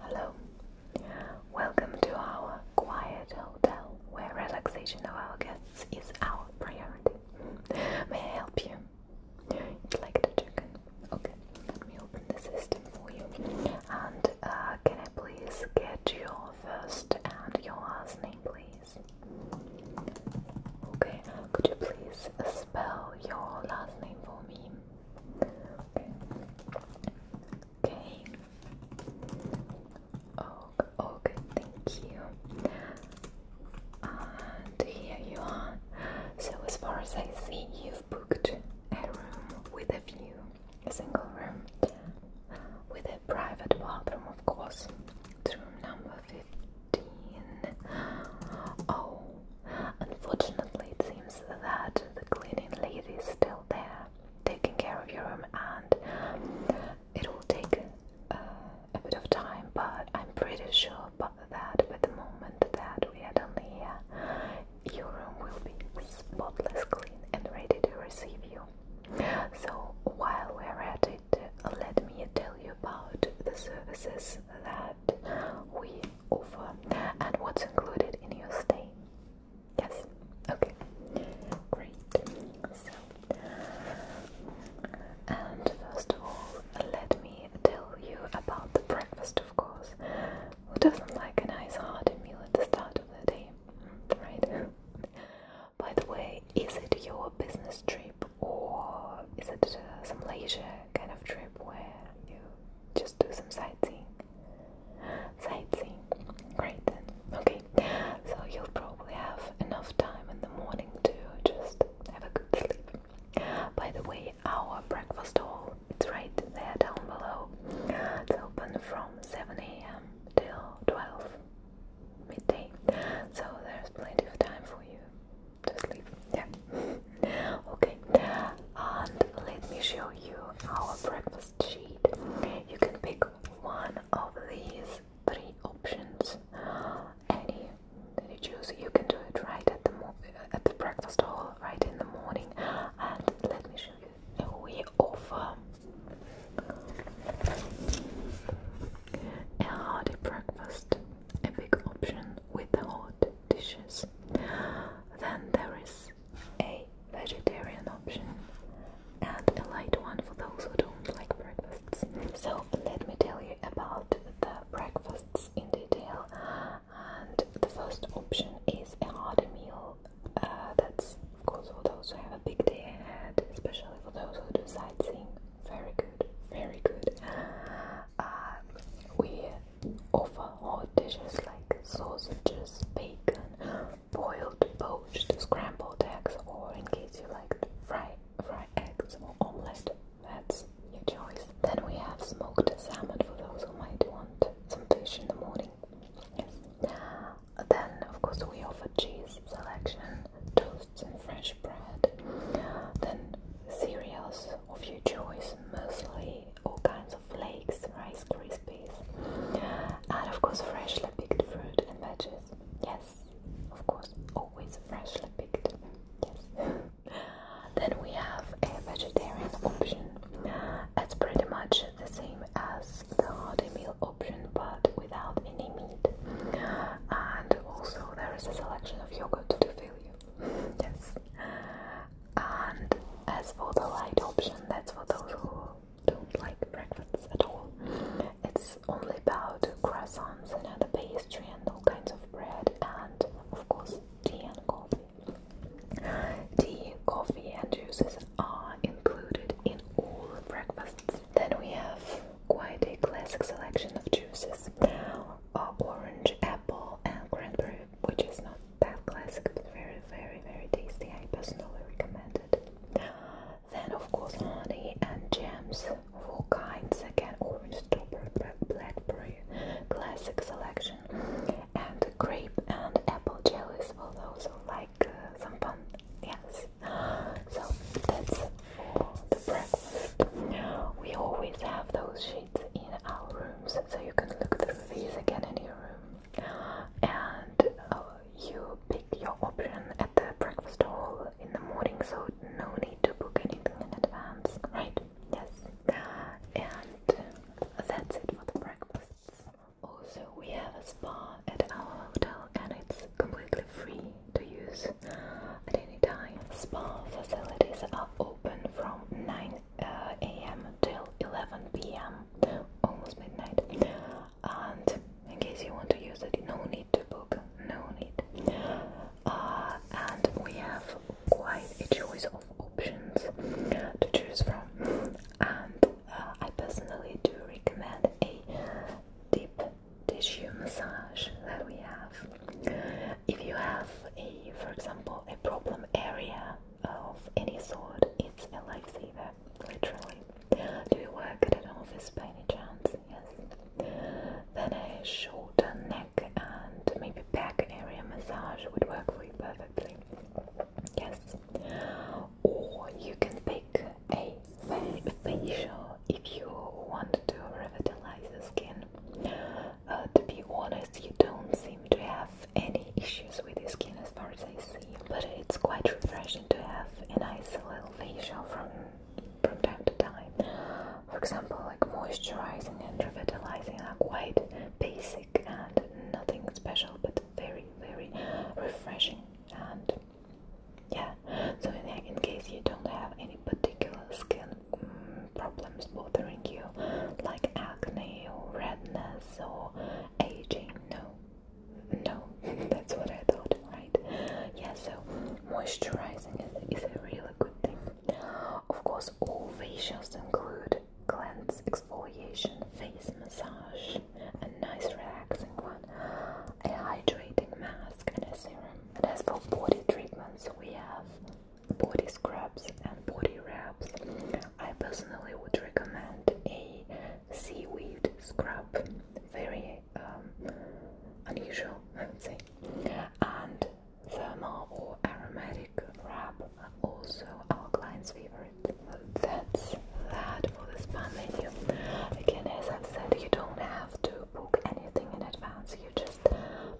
Hello, welcome to our quiet hotel where relaxation of our guests is our priority. May I help you? you like to check Okay, let me open the system for you. And uh, can I please get your first and your last name, please? Okay, could you please spell your last name for me? Okay. Okay. okay, thank you. And here you So, as far as I see, you've booked a room with a view, a single room with private bathroom, of course. room number 15. Oh, unfortunately, it seems that the cleaning lady is still there taking care of your room, and it will take uh, a bit of time, but I'm pretty sure by the moment that we are done here, your room will be spotless clean and ready to receive you. So while we're at it, let me tell you about the services that we offer and what's included in your stay. Yes, okay, great. So, and first of all, let me tell you about the breakfast, of course. Who doesn't like a nice hearty meal at the start of the day, right? By the way, is it your business trip? or is it some leisure kind of trip where you just do some sightseeing? Sightseeing, great then. Okay, so you'll probably have enough time in the morning to just have a good sleep. By the way, our breakfast hall it's right there down below. It's open from 7 a.m. till 12 midday. So there's plenty of time for you to sleep. Yeah. okay. And let me show you our breakfast sheet. You can pick one of these three options. Any that you choose, you can do it right at the at the breakfast hall, right in the morning. And let me show you. We offer a hearty breakfast, a big option with hot dishes. Then there is a vegetarian option and a light one for those who don't like breakfasts. So, let me tell you about the breakfasts in detail. And the first option is a hearty meal. Uh, that's, of course, for those who have a big day ahead, especially for those who do sightseeing very good, very good. Um, we offer hot dishes like sausages, bacon, boiled poached, scrambled eggs, or in case you like fry, fry eggs or omelette. That's your choice. Then we have smoked salmon for those who might want some fish in the morning. Yes. Then, of course, we offer cheese selection, some fresh bread. Then cereals of your choice, mostly all kinds of flakes, rice krispies, and of course freshly picked fruit and veggies. Yes, of course, always freshly picked. Yes. then we have a vegetarian option. It's pretty much the same as the hearty meal option, but without any meat. And also there is a selection of yogurt to fill you. yes. And as for the light option, that's for those who don't like breakfasts at all. It's only about croissants and other pastry and all kinds of bread and of course tea and coffee. Tea, coffee and juices are included in all breakfasts then we have quite a classic selection of juices. orange, apple and cranberry, which is not that classic but very very very tasty. I personally recommend it. Then of course honey and jams of all kinds. Again orange, strawberry, blackberry, classic selection. And grape and apple jellies for those who like uh, some fun. Yes. So that's for the breakfast. We always have those sheets in our rooms, so you can look through these again in your room. And uh, you pick your option at the breakfast hall in the morning, so no need to book anything in advance, right? Yes. And uh, that's it for the breakfasts. Also, we have a spa at our hotel and it's completely free to use at any time. Spa facilities are open from 9 uh, a.m. till 11 p.m. almost midnight. And in case you want to use it, no need to book, no need. Uh, and we have quite a choice of options to choose from. And uh, I personally do recommend a dip tissue massage that we have. If you have a, for example, a problem area of any sort, it's a lifesaver, literally. Do you work at an office by any chance? Yes. Then a shoulder, neck, and maybe back area massage would work for you perfectly. Yes. Or you can pick a facial if you want to revitalize the skin. Uh, to be honest, you don't seem to have any issues with the skin as far as I see, but it's quite refreshing to have a nice little facial from from time to time. For example, like moisturizing and revitalizing are quite basic and nothing special, but very, very refreshing and yeah so in, case you don't have any particular skin mm, problems bothering you like acne or redness or aging no no that's what i thought right yeah so moisturizing is, is a really good thing of course all facials include cleanse exfoliation face massage a nice relaxing one a hydrating mask and as for body treatments, we have body scrubs and body wraps. I personally would recommend a seaweed scrub, very um, unusual, I would say, and thermal or aromatic wrap, also our client's favorite. That's that for the spa menu. Again, as I've said, you don't have to book anything in advance, you just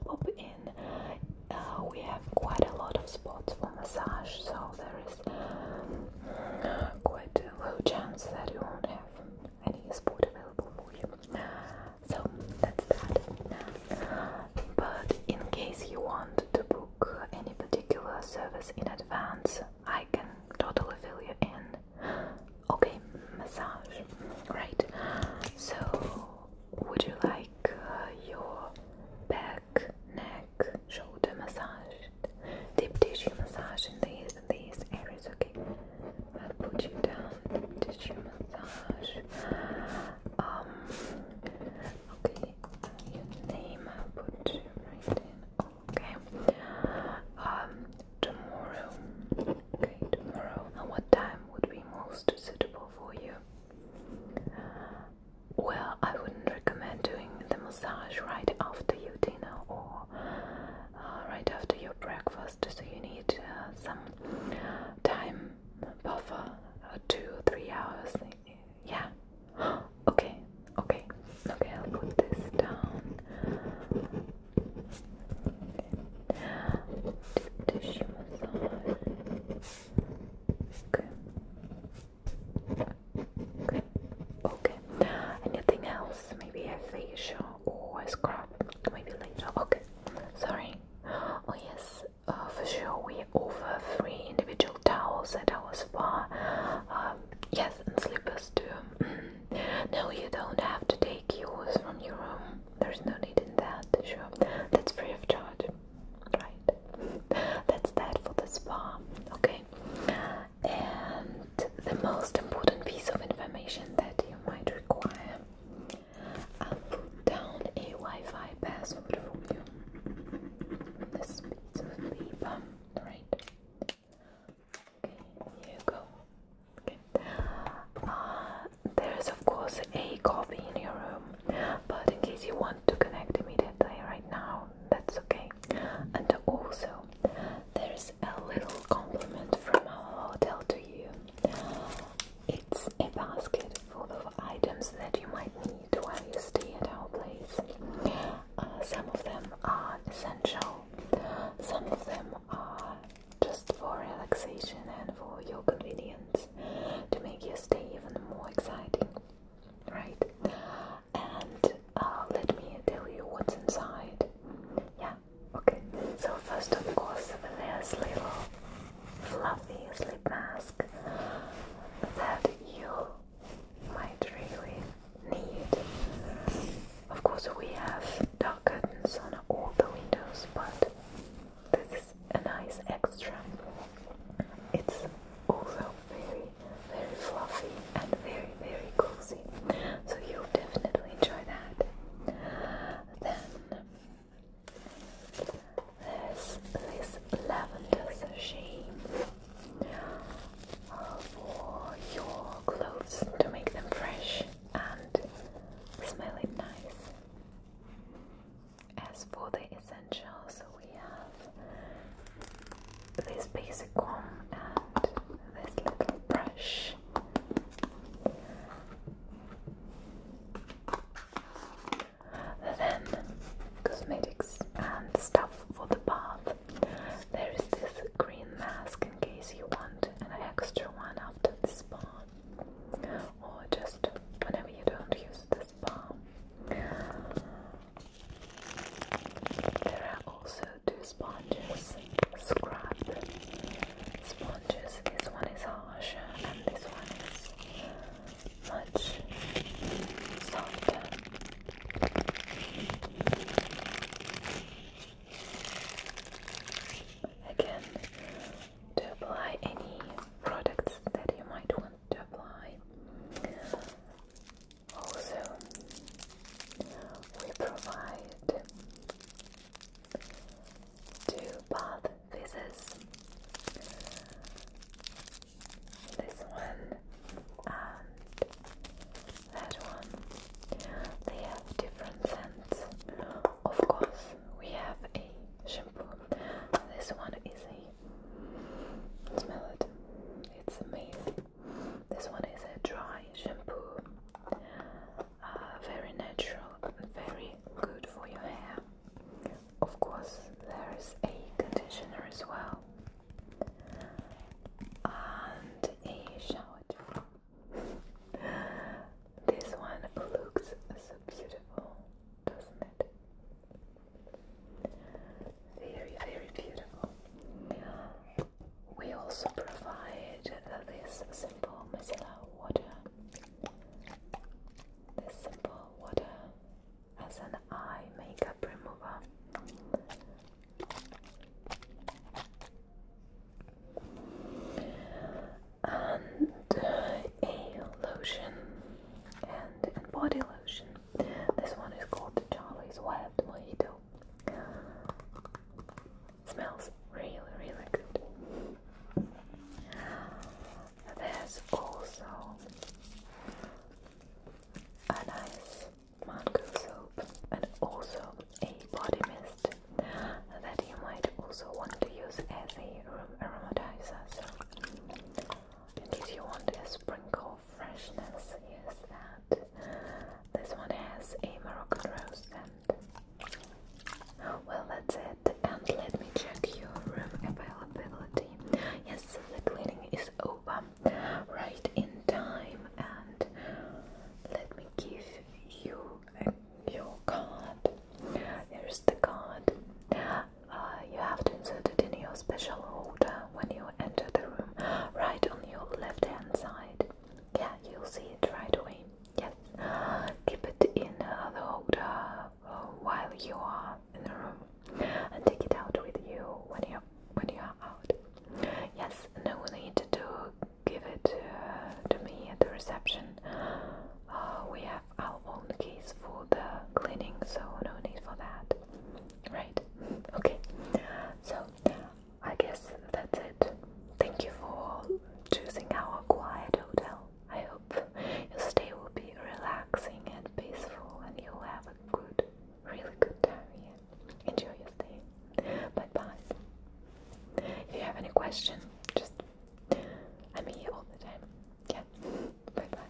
pop in. Uh, we have quite a lot of spots for massage, so there is uh, quite a low chance that you won't have any spot available for you. So that's that. But in case you want to book any particular service in advance, I can totally fill you in. Okay, massage. Right. So, would you like uh, your back, neck, shoulder massage, deep tissue massage in these these areas? Okay. I'll put you down. Deep tissue massage. Um. Okay. name. I'll put you right in. Okay. Um. Tomorrow. Okay, tomorrow. And what time would be most suitable for you? Well, I wouldn't recommend doing the massage right after your dinner or uh, right after your breakfast, so you need uh, some time buffer uh, two three hours. Yeah. okay, okay, okay, I'll put this down. Deep tissue massage. Okay. Okay. Okay. Anything else? Maybe a facial or a scrub. Maybe later. Okay. Sorry. Oh yes. Uh, for sure, we offer free individual towels at our spa. Um, yes, and slippers too. Mm. No, you don't have to take yours from your room. There's no need in that, sure. That's free of charge. Right. That's that for the spa. Okay. And the most important piece of information that you might require. I'll put down a Wi-Fi password for you. This piece of paper. Right you go. Okay. Uh, there's of course a coffee in your room, but in case you want to connect immediately right now, that's okay. And also, there's a little compliment from our hotel to you. It's a basket full of items that you might need while you stay at our place. Uh, some of them are essential, some of them are just for relaxation and for your convenience to make your stay even more exciting, right? And uh, let me tell you what's inside. Yeah, okay. So, first, of course, there's little fluffy sleep mask that you might really need of course, we have dark curtains on all the windows, but this is a nice extra. It's also very, very fluffy and very, very cozy, so you'll definitely enjoy that. Then there's this lavender machine uh, for your clothes to make them fresh and smelling nice. As for the essentials, we have this basic comb and this little brush. Then, cosmetics and stuff for the bath. There is this green mask in case you want an extra one after the spa or just whenever you don't use the spa. There are also two sponges, scrub sponges. This one is harsh and this one is much softer. Again, to apply any products that you might want to apply. Also, we provide two bath visits. This one and that one. They have different scents of course we have a shampoo this one is a smell it it's amazing this one is a dry shampoo uh, very natural very good for your hair of course there is a conditioner as well and a shower this one looks so beautiful, doesn't it? Very, very beautiful. We also provide this simple micellar water. This simple water as an eye makeup remover and uh, a lotion and, body lotion. This one is called Charlie's Wild Mojito. It smells really, really good. There's also a nice mango soap and also a body mist that you might also want to use as a room aromatizer. So, in case you want a sprinkle of freshness, yes, that. This one has a Moroccan rose and well, that's it. And let me check your room availability. Yes, the cleaning is over right in time, and let me give you your card. Here's the card. Uh, you have to insert it in your special holder when you enter the room, right on your left hand side. Yeah, you'll see it right away. Yes. Keep it in uh, the holder while you are in the room, and take it out with you when you when you are out. Yes, And what no need to do? give it to me at the reception. Uh, we have our own keys for the cleaning, so no need for that. Right? Okay. So I guess that's it. Thank you for choosing our quiet hotel. I hope your stay will be relaxing and peaceful, and you'll have a good, really good time Enjoy your stay. Bye bye. If you have any questions, just I'm here all the time. Yeah. bye bye.